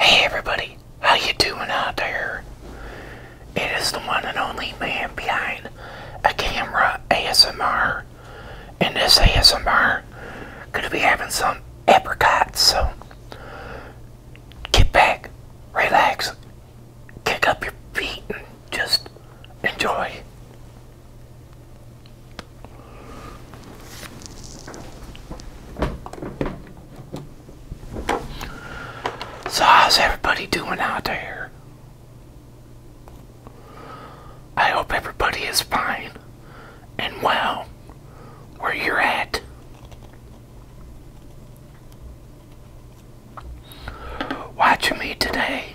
Hey everybody, how you doing out there? It is the one and only man behind a camera ASMR. And this ASMR gonna be having some apricots, so get back, relax, kick up your feet and just enjoy. So, how's everybody doing out there? I hope everybody is fine and well where you're at. Watching me today.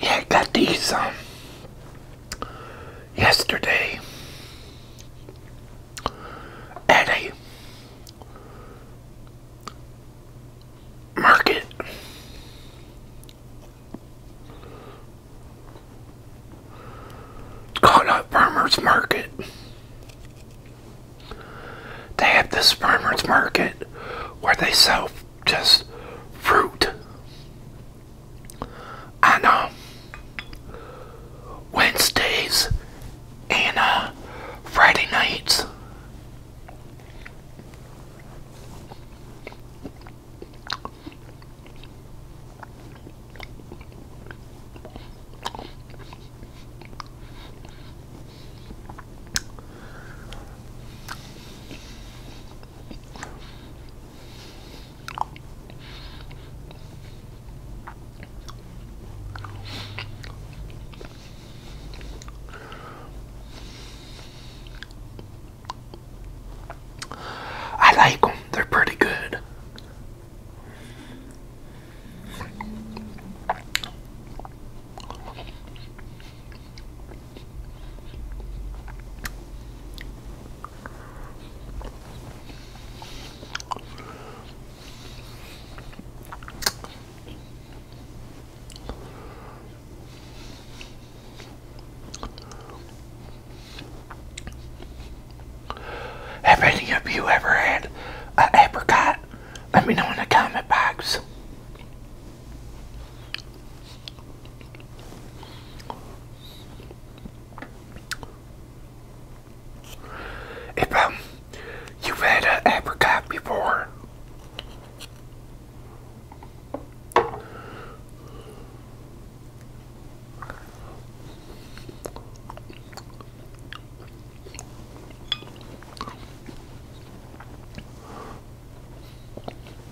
Yeah, I got these um yesterday at a market. It's called farmer's market. They have this farmer's market where they sell just fruit. On Wednesdays and uh, Friday nights. I like them, they're pretty good. Have any of you ever had an apricot? Let me know in the comment box. If um, you've had an apricot before,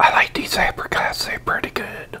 I like these apricots, they're pretty good.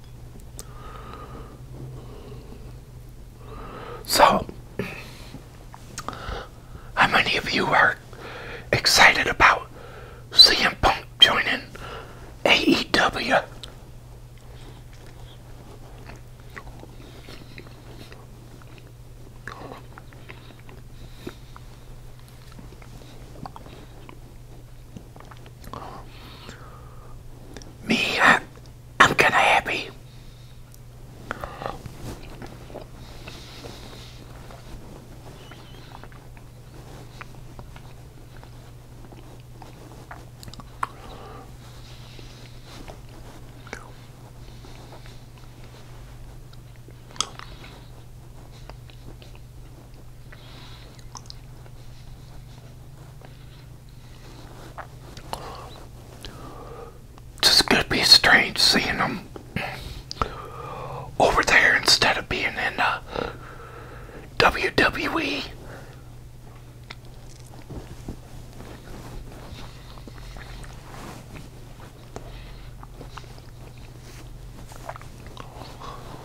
So, how many of you are excited about CM Punk joining AEW? Me, I, am kind of happy. Just going to be strange seeing them over there instead of being in the uh, WWE.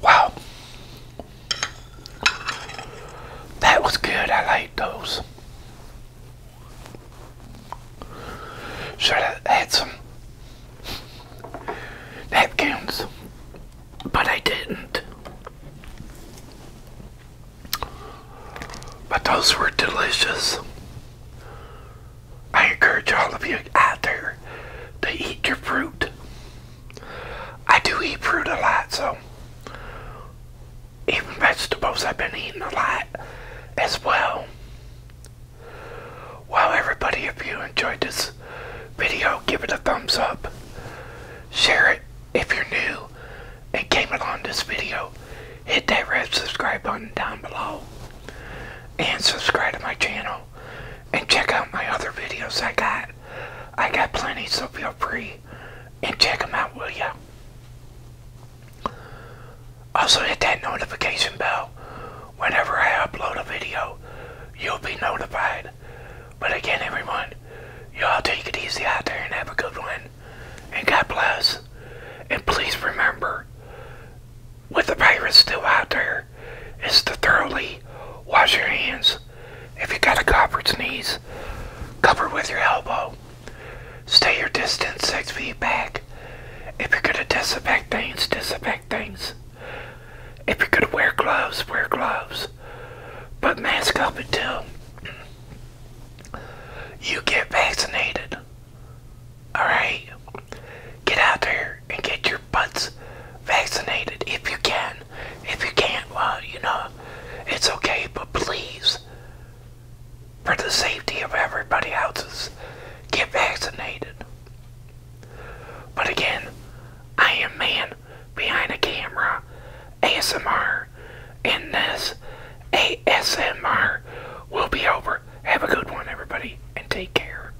Wow. That was good. I like those. Should have had some napkins, but I didn't. But those were delicious. I encourage all of you out there to eat your fruit. I do eat fruit a lot, so even vegetables I've been eating a lot as well. Well, everybody, if you enjoyed this video, give it a thumbs up. Share it if you're new and came along this video. Hit that red subscribe button down below and subscribe to my channel and check out my other videos I got. I got plenty, so feel free and check them out, will ya? Also hit that notification bell. Whenever I upload a video, you'll be notified. But again, everyone, y'all take it easy out there and have a good one. And God bless. And please remember, with the virus still out there, is to thoroughly wash your hands. If you got a covered sneeze, cover with your elbow. Stay your distance six feet back. If you're gonna disinfect things, disinfect things. If you're gonna wear gloves, wear gloves. But mask up until you get vaccinated. Alright? Get out there and get your butts vaccinated if you can. If you can't, well, you know, it's okay, but please, for the safety of everybody else's, get vaccinated. But again, I am man behind a camera, ASMR, and this ASMR will be over. Have a good one, everybody, and take care.